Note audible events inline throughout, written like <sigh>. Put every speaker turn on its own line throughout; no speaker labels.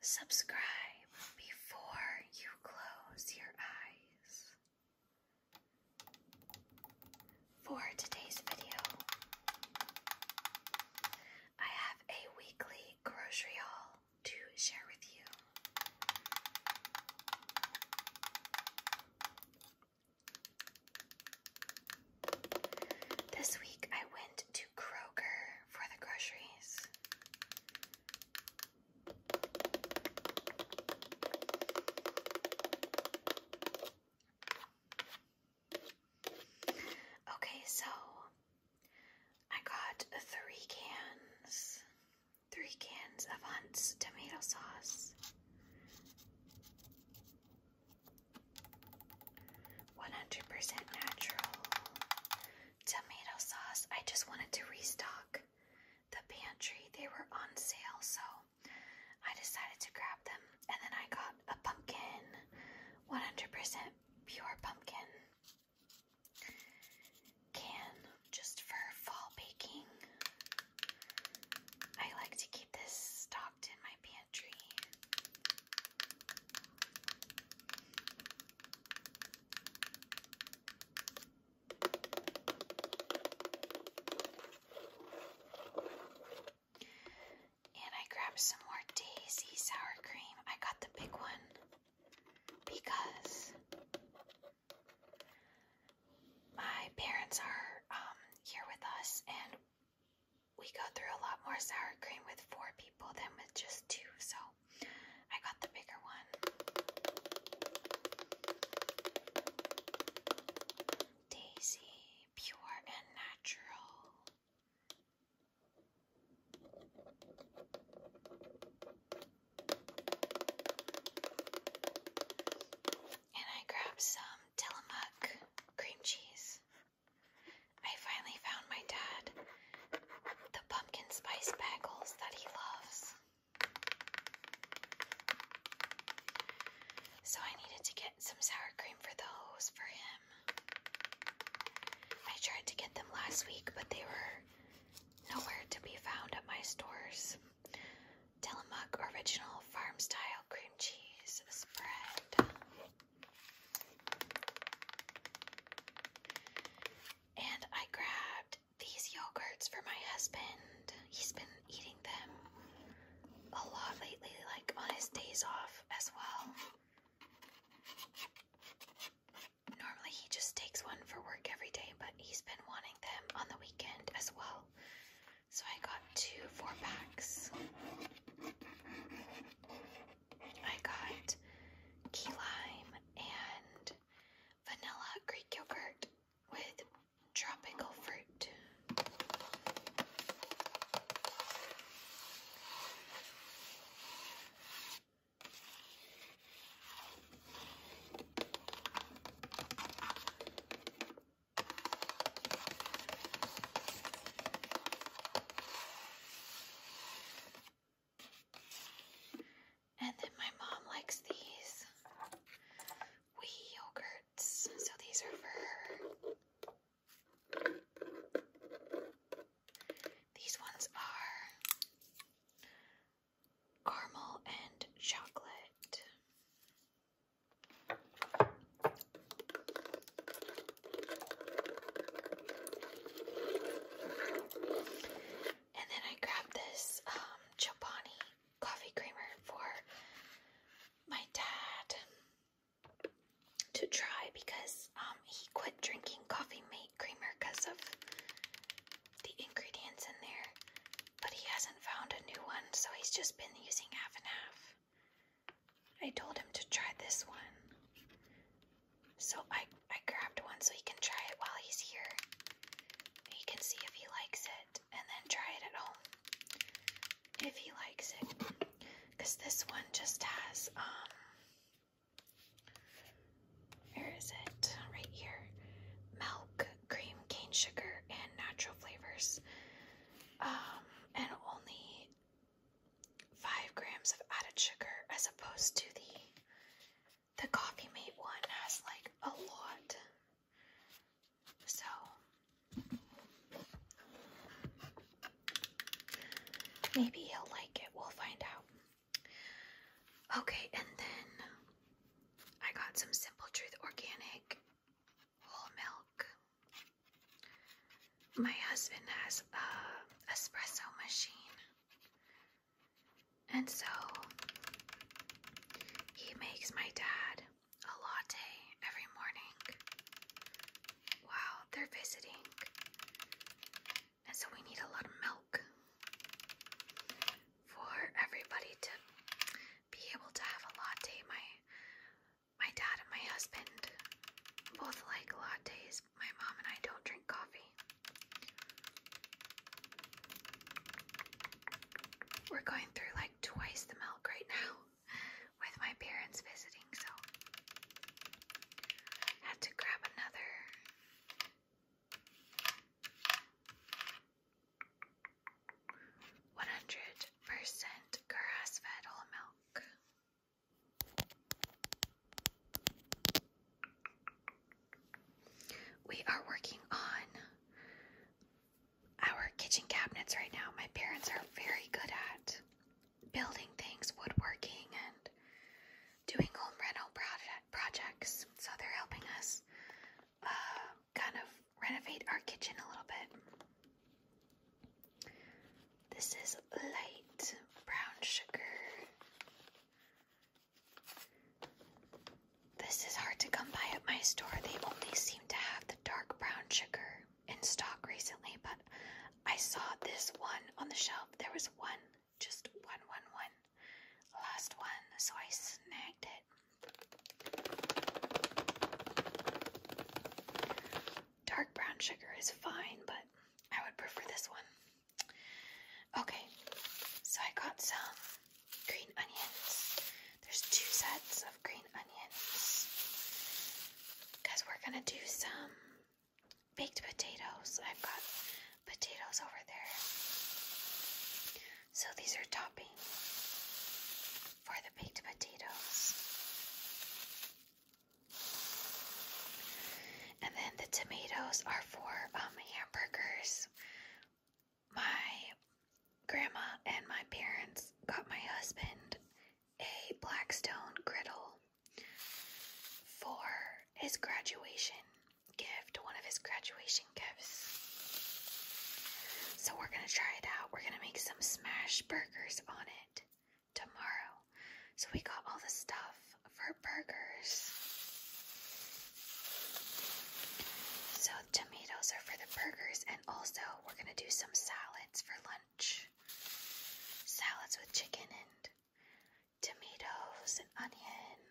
subscribe before you close your eyes. For today's video, I have a weekly grocery haul to share with you. This week I went to Kroger for the groceries. Okay, so I got three cans, three cans of Hunt's tomato sauce. 100% natural tomato sauce. I just wanted to restock the pantry. They were on sale, so I decided to grab them. And then I got a pumpkin, 100% pure pumpkin can just for fall baking. I like to keep this stocked in my pantry. And I grabbed some more Daisy sour cream. I got the big one because my parents are um, here with us and we go through a lot more sour cream with four people than with just two. So I got the bigger one. Daisy, pure and natural. And I grabbed some Tillamook cream cheese. I finally found my dad the pumpkin spice bagels that he loves. So I needed to get some sour cream for those for him. I tried to get them last week, but they were nowhere to be found at my stores. Tillamook Original Farm Style Cream Cheese Spread. And I grabbed these yogurts for my husband. He's been eating them a lot lately, like on his days off as well. Normally he just takes one for work every day, but he's been wanting them on the weekend as well. So I got two four packs. I got key lime and vanilla Greek yogurt with tropical fruit. And then my mom likes these wee yogurts. So these are for her. These ones are caramel and chocolate. And then I grabbed this um, Chobani coffee creamer for my dad to try because um, he quit drinking coffee mate creamer because of the ingredients in there, but he hasn't found a new one, so he's just been using half and half. I told him to try this one. So I I grabbed one so he can try it while he's here. He can see if he likes it and then try it at home if he likes it. Cause this one just has um where is it? Right here. Milk, cream, cane sugar, and natural flavors. Um, and only five grams of added sugar as opposed to the the Coffee Mate one has like a lot. So maybe he'll like it. We'll find out. Okay, and then I got some Simple Truth Organic whole milk. My husband has a uh, espresso machine. And so he makes my dad a latte every morning while they're visiting. And so we need a lot of milk for everybody to be able to have a latte. My my dad and my husband both like lattes my mom and I don't drink coffee. We're going through like twice the milk right now <laughs> with my parents visiting, so had to grab another. One hundred percent grass fed whole milk. We are working on our kitchen cabinets right now. My parents are very good at building things, woodworking, and doing home rental project projects. So they're helping us uh, kind of renovate our kitchen a little bit. This is light brown sugar this is hard to come by at my store. They only seem to have the dark brown sugar in stock recently, but I saw this one on the shelf. There was one, just one, one, one. Last one, so I snagged it. Dark brown sugar is fine, but I would prefer this one. Okay, so I got some green onions. There's two sets of green onions because we're gonna do some baked potatoes. I've got potatoes over there. So these are topping for the baked potatoes. And then the tomatoes are for um, hamburgers. My grandma and my parents got my husband a Blackstone griddle for his graduation gift, one of his graduation gifts. So we're gonna try it out. We're gonna make some smash burgers on it tomorrow. So we got all the stuff. For burgers. So, tomatoes are for the burgers, and also we're gonna do some salads for lunch salads with chicken and tomatoes and onion.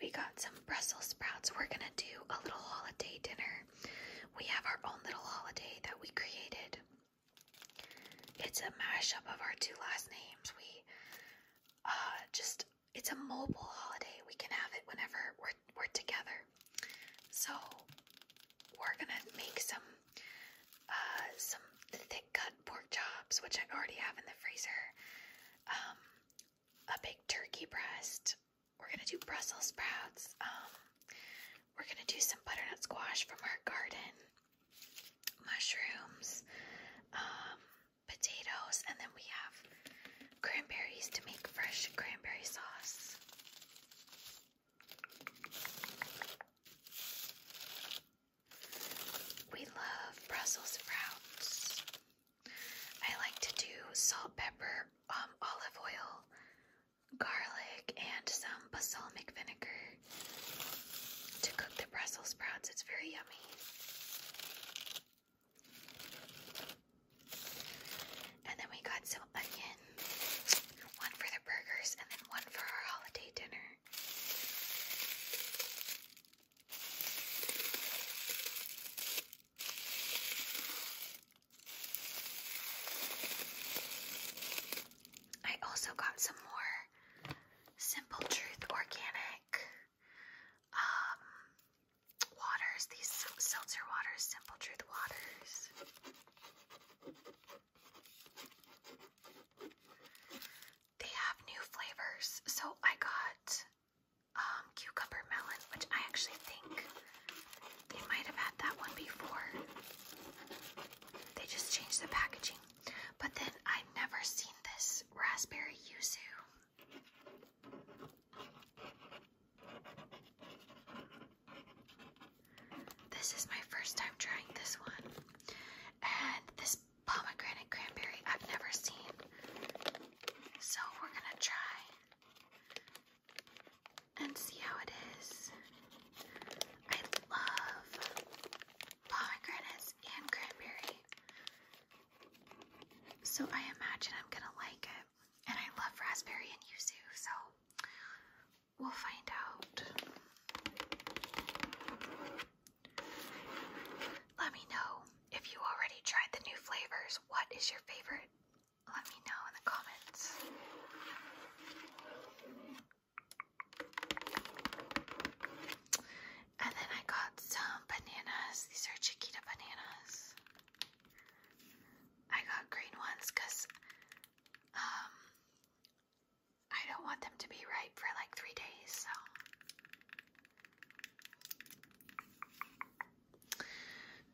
We got some Brussels sprouts. We're gonna do a little holiday dinner we have our own little holiday that we created. It's a mashup of our two last names. We uh, just, it's a mobile holiday. We can have it whenever we're, we're together. So we're gonna make some, uh, some thick cut pork chops, which I already have in the freezer. Um, a big turkey breast, we're gonna do Brussels sprouts. Um, we're gonna do some butternut squash from our garden, mushrooms, um, potatoes, and then we have cranberries to make fresh cranberry sauce. We love Brussels sprouts. I like to do salt, pepper, um, olive oil, garlic, and some balsamic vinegar to cook the Brussels sprouts. It's very yummy. And then we got some onion, one for the burgers and then one for our holiday dinner. I also got some more Simple Truth organic um, waters, these seltzer waters, Simple Truth waters. They have new flavors. So I got um, cucumber melon, which I actually think they might have had that one before. They just changed the packaging. But then I've never seen this raspberry yuzu. This is my first time trying this one. And this pomegranate cranberry I've never seen. So we're gonna try and see how it is. I love pomegranates and cranberry. So I imagine I'm gonna like it. And I love raspberry and yuzu, so we'll find out. Let me know if you already tried the new flavors. What is your favorite? Let me know in the comments. And then I got some bananas. These are Chiquita bananas. I got green ones because um, I don't want them to be ripe for like three days, so.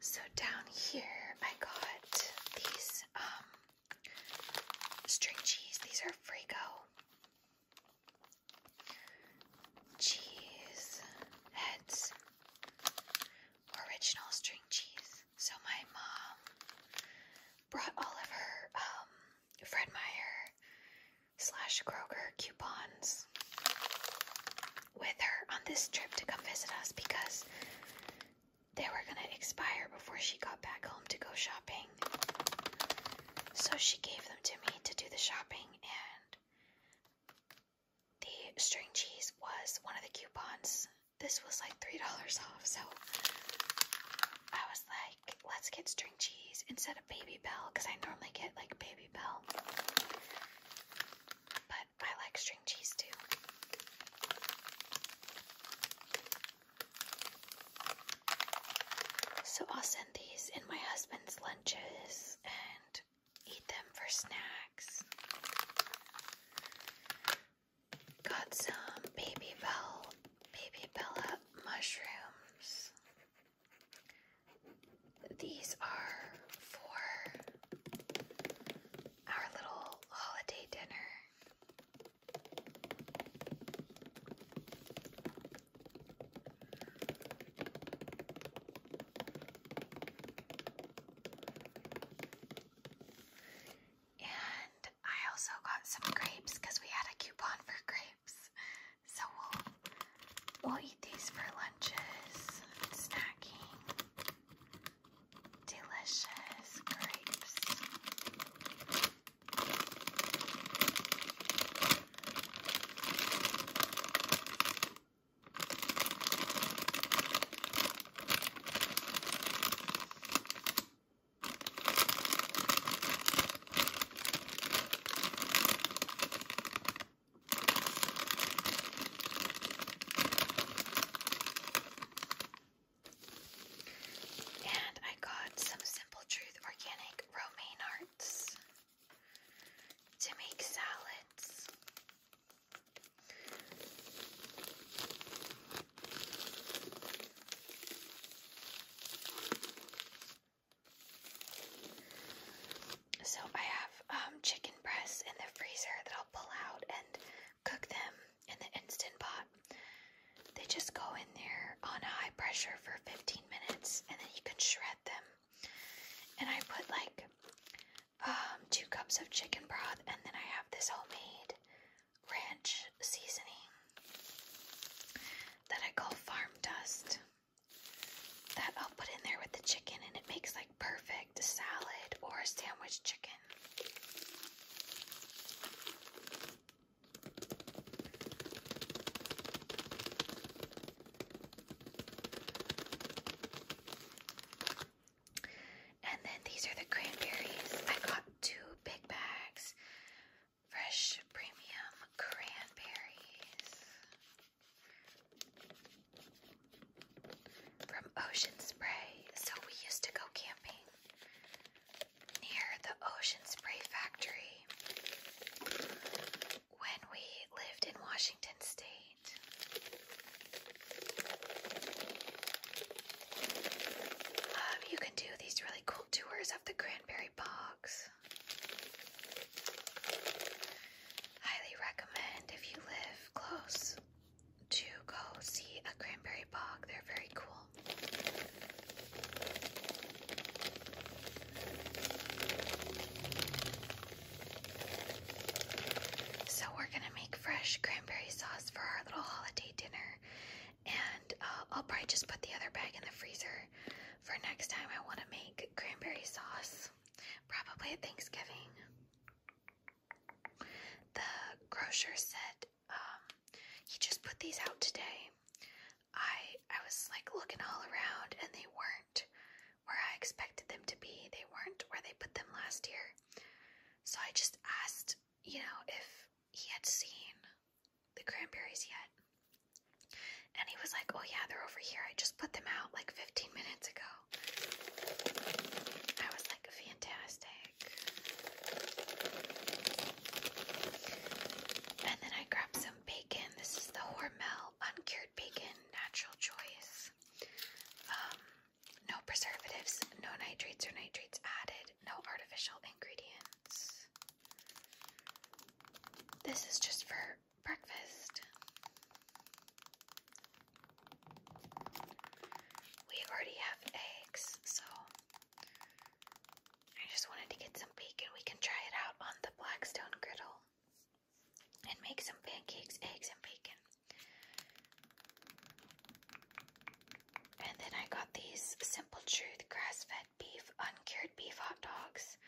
So down here I got these um string cheese. These are Frigo. Cheese heads. Original string cheese. So my mom brought all of her um, Fred Meyer slash Kroger coupons with her on this trip to come visit us because they were going to expire before she got back home to go shopping. So she gave them to me to do the shopping, and the string cheese was one of the coupons. This was like $3 off, so I was like, let's get string cheese instead of Baby Bell, because I normally get like Baby Bell. But I like string cheese too. So I'll send these in my husband's lunches and eat them for snacks. Got some baby bell baby bella mushrooms. These are for our little holiday dinner. And I also got some grapes because we had a coupon for grapes. So we'll we'll eat these for lunches, snacking delicious grapes. And I got some Simple Truth organic romaine hearts to make salads. So I have um, chicken breasts in the freezer that I'll pull out and cook them in the instant pot. They just go in there on a high pressure for 15 minutes and then you can shred them. And I put like um, two cups of chicken broth and then I have this homemade ranch seasoning that I call farm dust that I'll put in there with the chicken and it makes like perfect salad or sandwich chicken. And then these are the cranberries. I got two big bags. Fresh premium cranberries from Ocean Spray. So we used to go camping near the Ocean Spray Factory when we lived in Washington State. Um, you can do these really cool tours of the Cranberry Bogs. Highly recommend if you live close to go see a cranberry bog. They're very cool. So we're gonna make fresh cranberry sauce for our little holiday dinner, and uh, I'll probably just put the other bag in the freezer for next time. I want to make cranberry sauce, probably at Thanksgiving. The grocer said um, he just put these out today. I I was like looking all around and they weren't where I expected them to be. They weren't where they put them last year. So I just asked, you know, if he had seen the cranberries yet. And he was like, "Oh yeah, they're over here. I just put them out like 15 minutes ago." I was like, "Fantastic." And then I grabbed some bacon. This is the Hormel uncured bacon, natural choice. Um, no preservatives, no nitrates or nitrates added, no artificial ingredients. This is just for breakfast. We already have eggs, so I just wanted to get some bacon. We can try it out on the Blackstone griddle and make some pancakes, eggs, and bacon. And then I got these Simple Truth grass-fed beef, uncured beef hot dogs.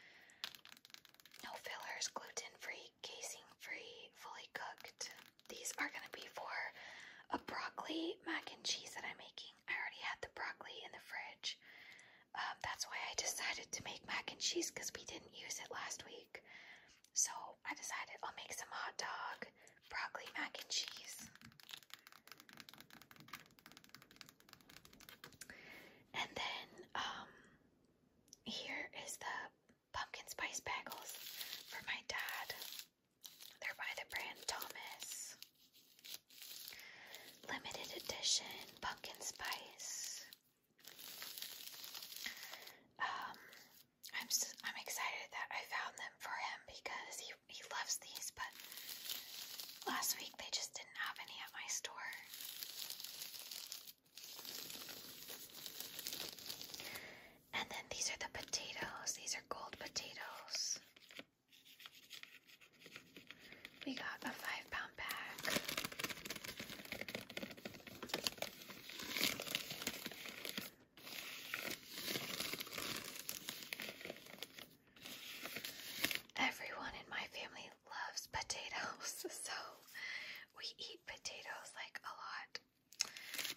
No fillers, gluten-free, casing-free, fully cooked. These are going to be for a broccoli mac and cheese that I'm making. I already had the broccoli in the fridge. Um, that's why I decided to make mac and cheese because we didn't use it last week. So I decided I'll make some hot dog broccoli mac and cheese. And then um, here is the pumpkin spice bagels for my dad. They're by the brand Thomas. Limited edition pumpkin spice. Um, I'm I'm excited that I found them for him because he he loves these. But last week they just didn't have any at my store. And then these are the potatoes. These are gold potatoes. We got a five pound bag. Everyone in my family loves potatoes, <laughs> so we eat potatoes like a lot.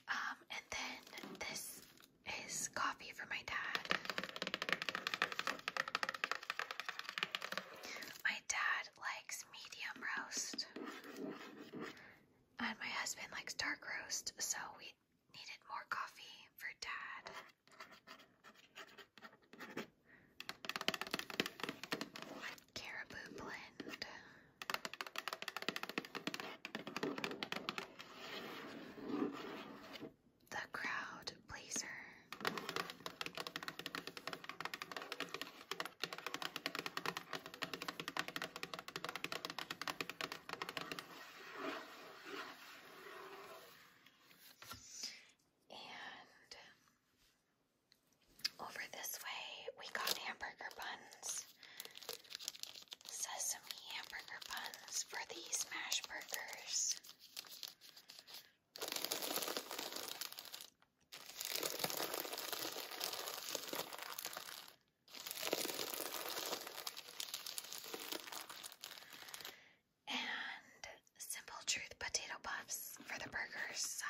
Um, and then this is coffee for my dad. My dad likes medium roast, and my husband likes dark roast, so we needed more coffee for dad. Caribou blend. The crowd pleaser. And over this way, we got hamburger buns sesame hamburger buns for these smash burgers. And Simple Truth potato puffs for the burgers side.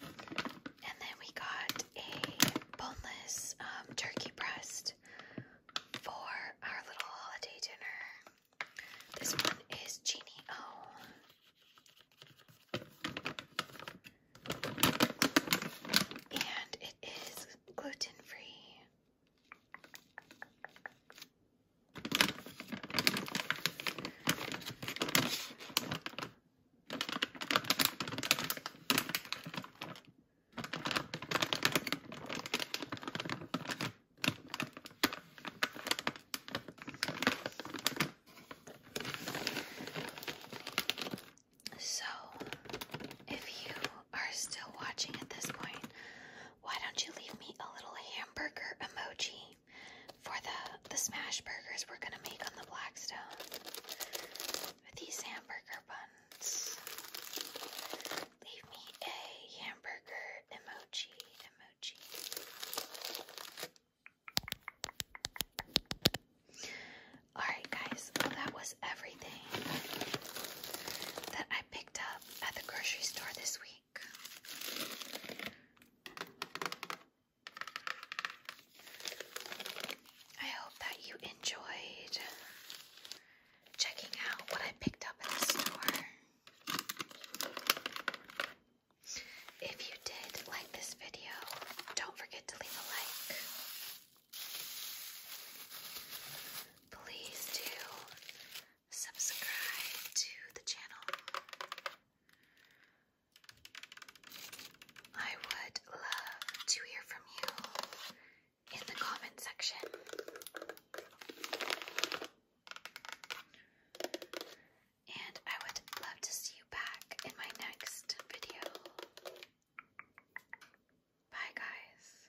And then we got a boneless um, turkey breast for our little holiday dinner. This one is Genie O. And it is gluten free. So, if you are still watching at this point, why don't you leave me a little hamburger emoji for the the smash burgers we're gonna make on the Blackstone with these hamburger buns. Leave me a hamburger emoji, emoji. Alright, guys, that was everything that I picked up at the grocery store this week. I hope that you enjoyed checking out what I picked up at the store. If you did like this video, don't forget to leave a like. Please do subscribe to the channel. I would love to hear from you in the comment section. And I would love to see you back in my next video. Bye, guys.